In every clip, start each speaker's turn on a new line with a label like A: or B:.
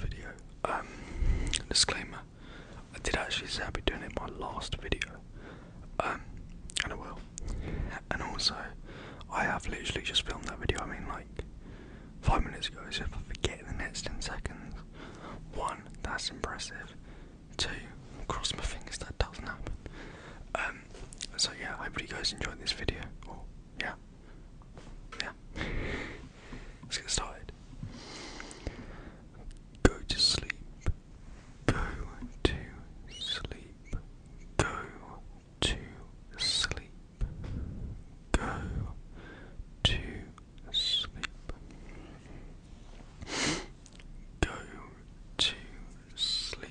A: video. Um, disclaimer: I did actually say I'd be doing it in my last video, um, and I will. And also, I have literally just filmed that video. I mean, like five minutes ago. So if I forget in the next ten seconds, one, that's impressive. Two, cross my fingers that doesn't happen. Um, so yeah, I hope you guys enjoyed this video. yeah yeah, let's get started. Go to sleep. Go to sleep. Go to sleep. Go to sleep. Go to sleep. Go to sleep.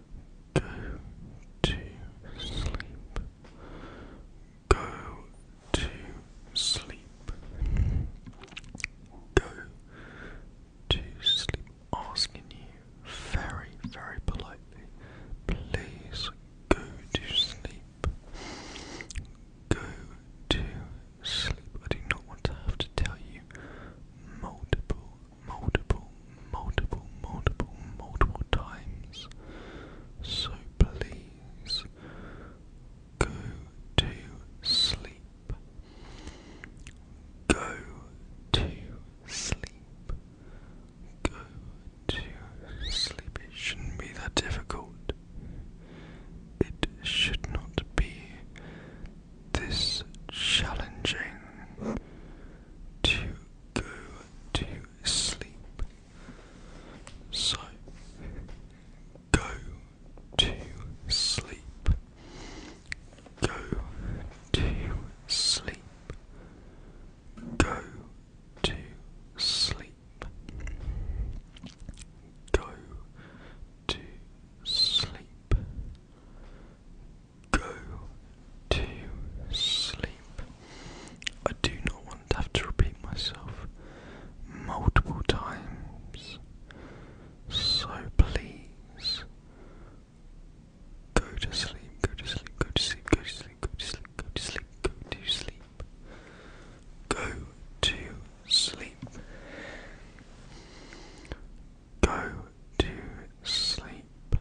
A: Go to sleep. Go to sleep. Go to sleep. Asking you very, very politely. Please go to sleep. Go to sleep. I do not want to have to tell you multiple multiple, multiple, multiple, multiple times. So please go to sleep. Go to sleep. Go to sleep. It shouldn't be that difficult. It should not be this challenging to go to sleep. So go to sleep. Go to sleep. Go to sleep. Go to sleep go to sleep. I do not want to have to repeat myself multiple times. So please go to sleep, go to sleep, go to sleep, go to sleep, go to sleep, go to sleep, go to sleep. Go to sleep. Go to sleep.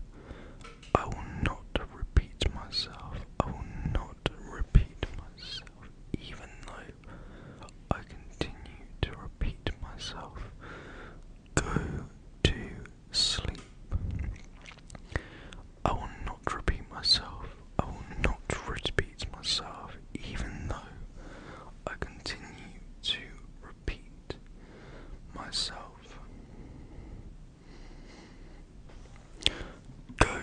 A: I will not repeat myself. I will not repeat myself, even though I continue to repeat myself. Go to sleep. I will not repeat myself. I will not repeat myself, even though I continue to repeat myself. Go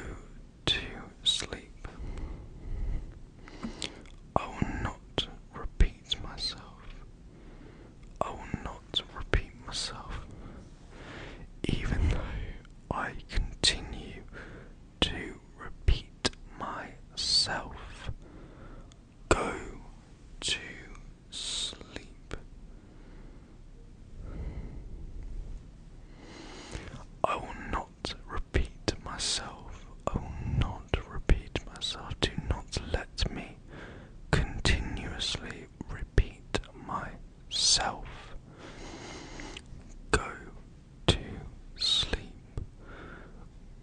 A: to sleep. I will not repeat myself. I will not repeat myself, even though I continue to repeat myself. Go to sleep. I will not repeat myself. I will not repeat myself. Do not let me continuously repeat myself. Go to sleep.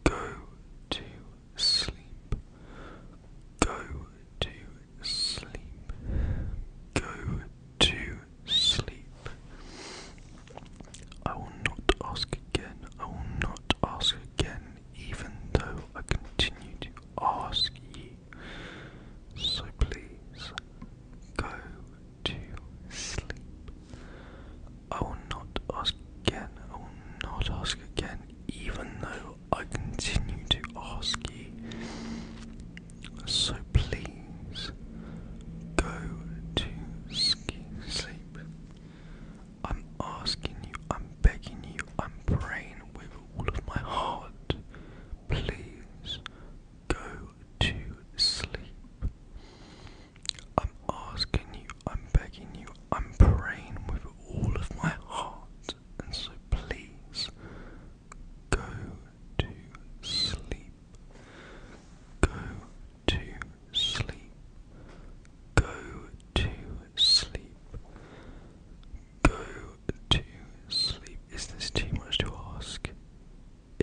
A: Go to sleep. Go to sleep. Go to sleep. I will not ask again. I will not ask again, even though I continue to ask ye. So please go to sleep. I will not ask again, I will not ask again, even though I continue to ask you. So please go to sleep. I'm asking you, I'm begging you, I'm praying with all of my heart. Please go to sleep. I'm asking you, I'm begging you, I'm praying with all of my heart, and so please go to sleep. Go to sleep. Go to sleep. Go to sleep. Is this too much to ask?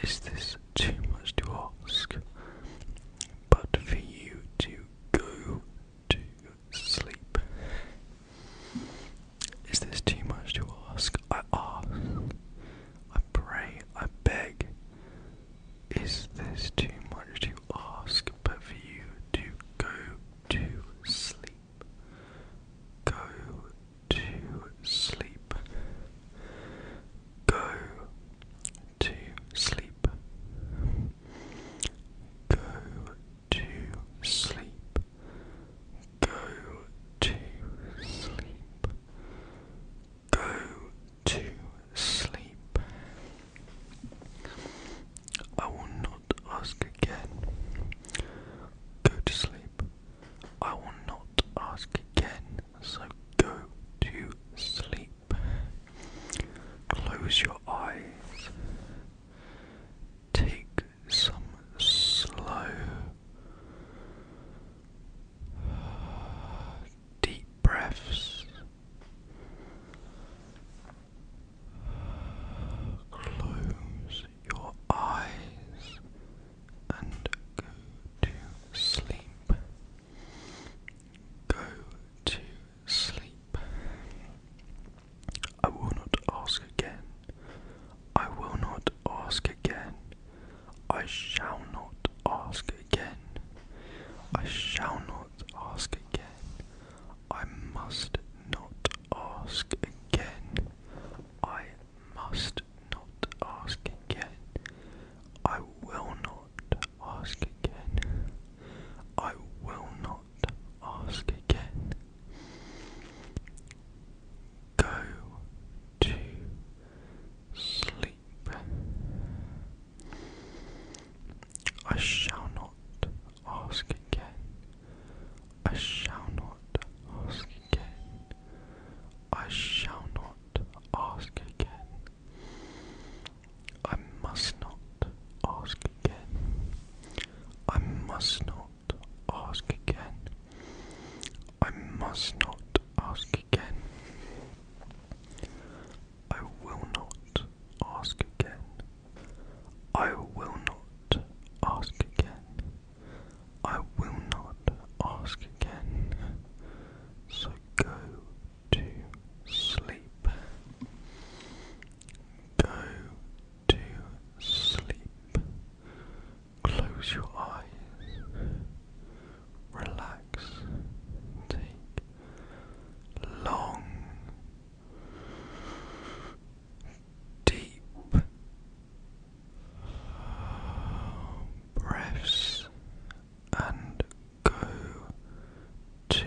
A: Is this too much to ask? But for you to go to sleep. Is this too much to ask? I ask. I pray. I beg. Is this too much to ask? But for you to go to sleep. Go to sleep. Go to sleep. Go to sleep. Go to sleep. Go to sleep. I will not ask again. Go to sleep. I will not ask again, so go to sleep. Close your eyes. Take some slow, deep breaths. Close your eyes and go to sleep. Go to sleep. I will not ask again. I will not ask again. I shall not ask again. I shall not ask again. I must not ask again. I must not ask again. I will not ask again. I will not ask again. Go to sleep. I shall not ask again. I shall not ask I shall not ask again. I must not ask again. I must not ask again. I must not ask again. I will not ask again. I will not ask again. I will not ask again, so go to sleep. Go to sleep. Close your eyes. Relax. Take long, deep breaths and go to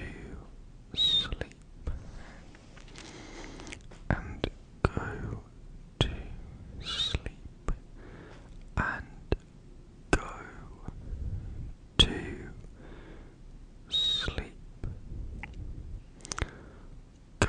A: sleep and go to sleep and go to sleep go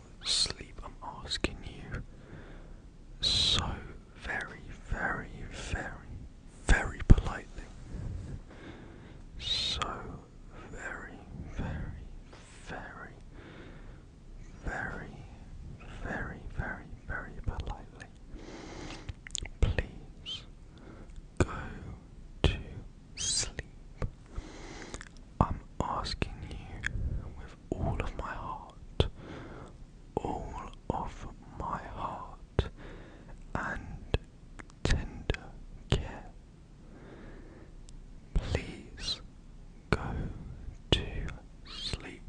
A: sleep. I'm asking you so very, very, very, very politely. So very, very, very, very, very, very, very politely. Please go to sleep. I'm asking you with all of my heart, all of my heart, and tender care. Please go to sleep.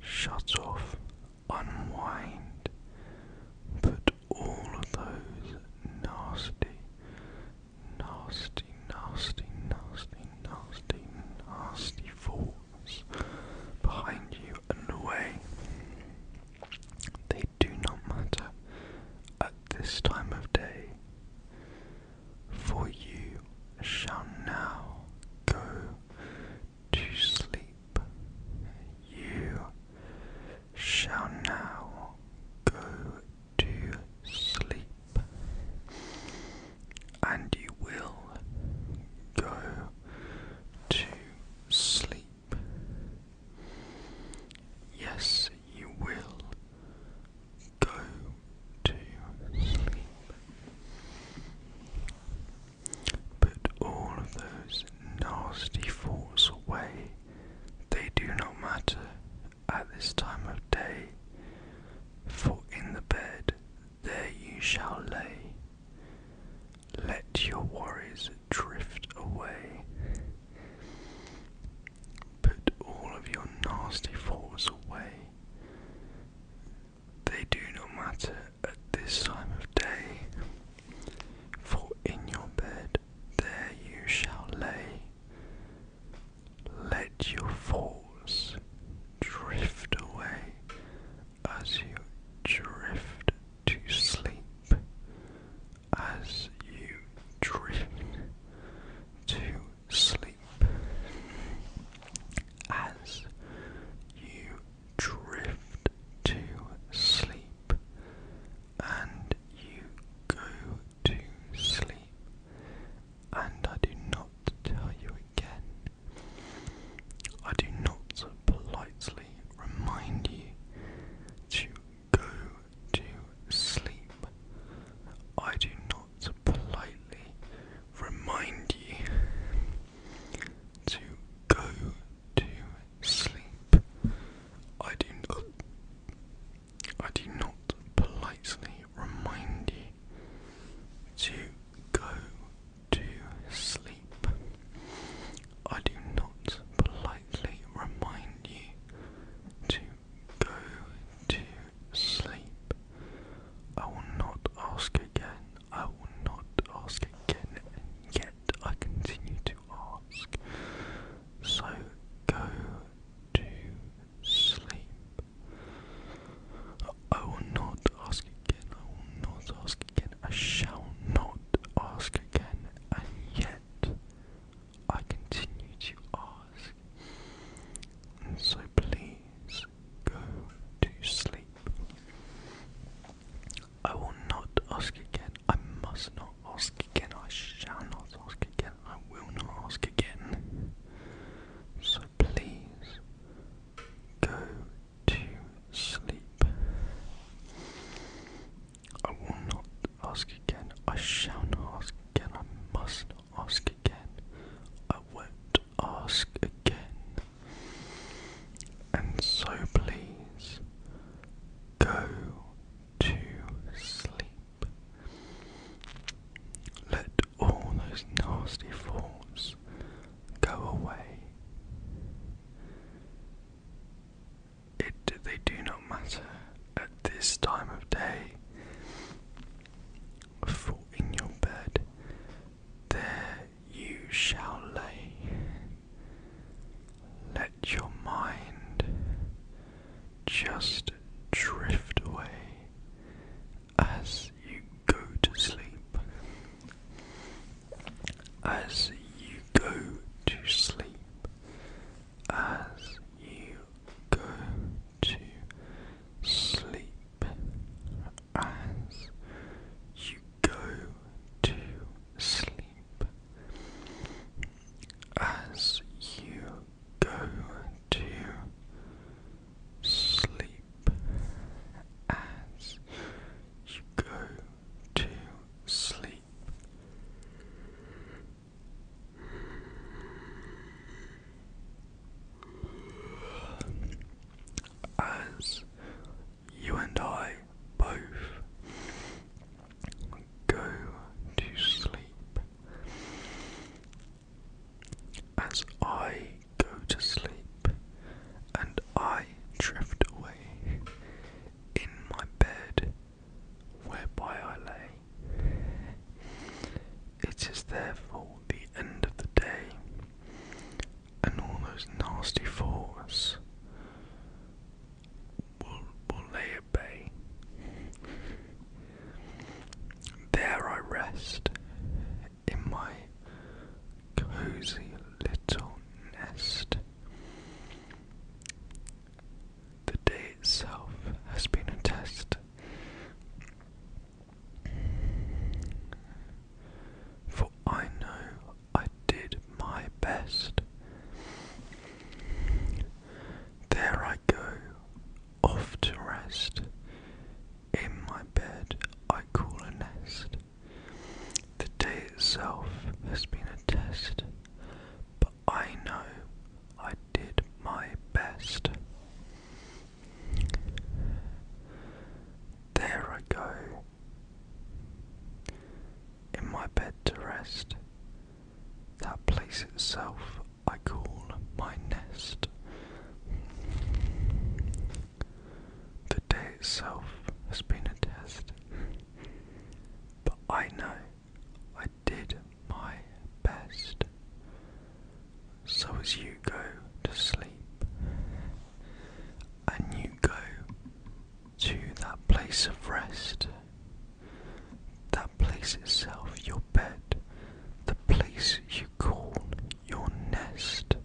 A: Shut off, unwind, put all of those nasty nasty, nasty, nasty, nasty, nasty falls behind you and away. They do not matter at this time of day, for you shall now go to sleep. You shall now go to sleep, and you will go to sleep. Yes, you will go to sleep. Put all of those nasty thoughts away, they do not matter at this time of day, for in the bed there you shall lay. Let your worries drift away. Put all of your nasty thoughts away. They do not matter at this time of day, for in your bed there you shall lay. Let your thoughts drift away as you drift to sleep, as you drift to sleep, as you drift to sleep, and you go to sleep, and I do not tell you again. I do not politely remind you to go to sleep. I do not politely remind you to go to sleep. I do not I do not politely remind you to go to sleep. I do not politely remind you to go to sleep. I will not ask again. I will not ask again, and yet I continue to ask. So go to sleep. I will not ask again, I will not ask again, I shall not ask again, and yet I continue to ask. And so please go to sleep. I will not ask again, I must not ask again, I shall not ask again, I will not ask again. So please go to sleep. I will not ask again, I shall not ask again, I must not ask again, I won't ask again. And so please Go to sleep. Let all those nasty thoughts go away. It they do not matter at this time of day. For in your bed there you shall lay let your mind just drift away as you go to sleep. As you go to sleep. As you go to sleep. As you go to sleep as you go to sleep, as you go to sleep. As you and I both Go to sleep. As I go to sleep and I drift away in my bed whereby I lay, it is therefore the end of the day, and all those nasty thoughts Mulay Bay. There I rest in my cozy little nest. The day itself has been a test. For I know I did my best. There I go, off to rest. In my bed I call a nest. The day itself has been a test, but I know I did my best. There I go in my bed to rest. That place itself I call my nest. The day itself has been a test, but I know I did my best. So as you go to sleep, and you go to that place of rest, that place itself, your bed, the place you call your nest.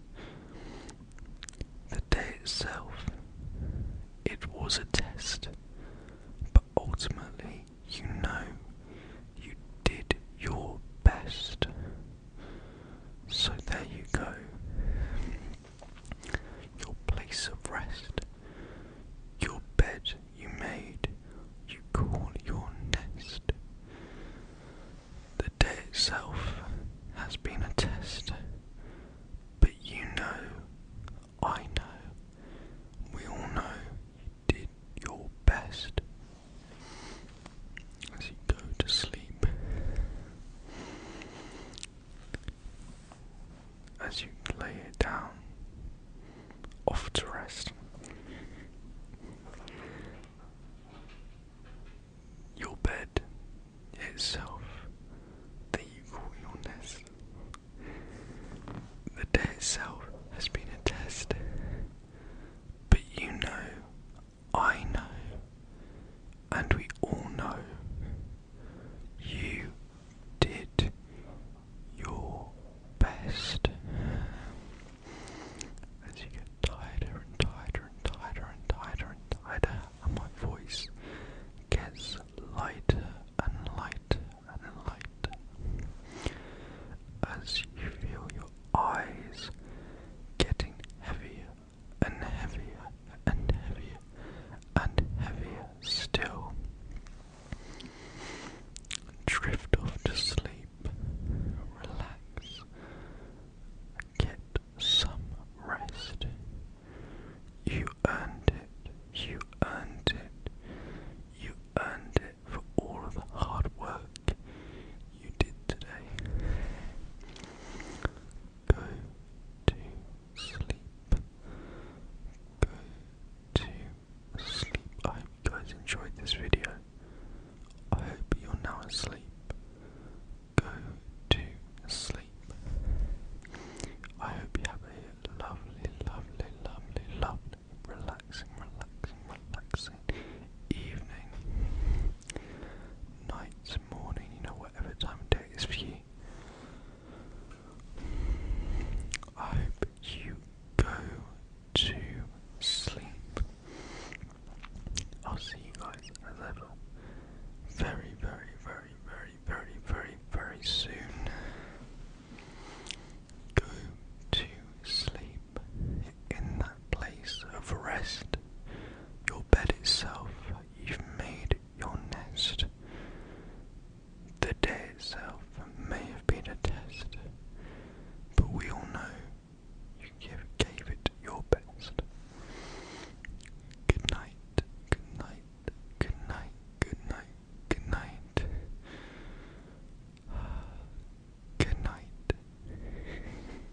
A: The day itself, it was a test, but ultimately you know you did your best. So there you go your place of rest, your bed you made, you call your nest. The day itself has been a test, but you know, I know, we all know you did your best. As you go to sleep, as you lay it down off to rest. Your bed itself that you call your nest. The day itself has been a test, but you know I know, and we all know, you did your best. As you get tighter and tighter and tighter and tighter and tighter, and my voice gets lighter and lighter and lighter. As you feel your eyes getting heavier and heavier and heavier and heavier still. Drift off to sleep, relax, get some rest. You earned it, you earned it, you earned it for all of the hard work you did today. Go to sleep. Go to sleep. I hope you enjoyed this video. I hope you're now asleep. Go to sleep. I hope you have a lovely, lovely, lovely, lovely, relaxing, relaxing, relaxing evening night, morning, you know, whatever time of day it is for you. I hope you go to sleep. I'll see you guys as ever very, very, very, very, very, very, very soon. Go to sleep in that place of rest. Your bed itself, you've made your nest. The day itself may have been a test, but we all know you gave it your best. Good night, good night, good night, good night, good night. Good night.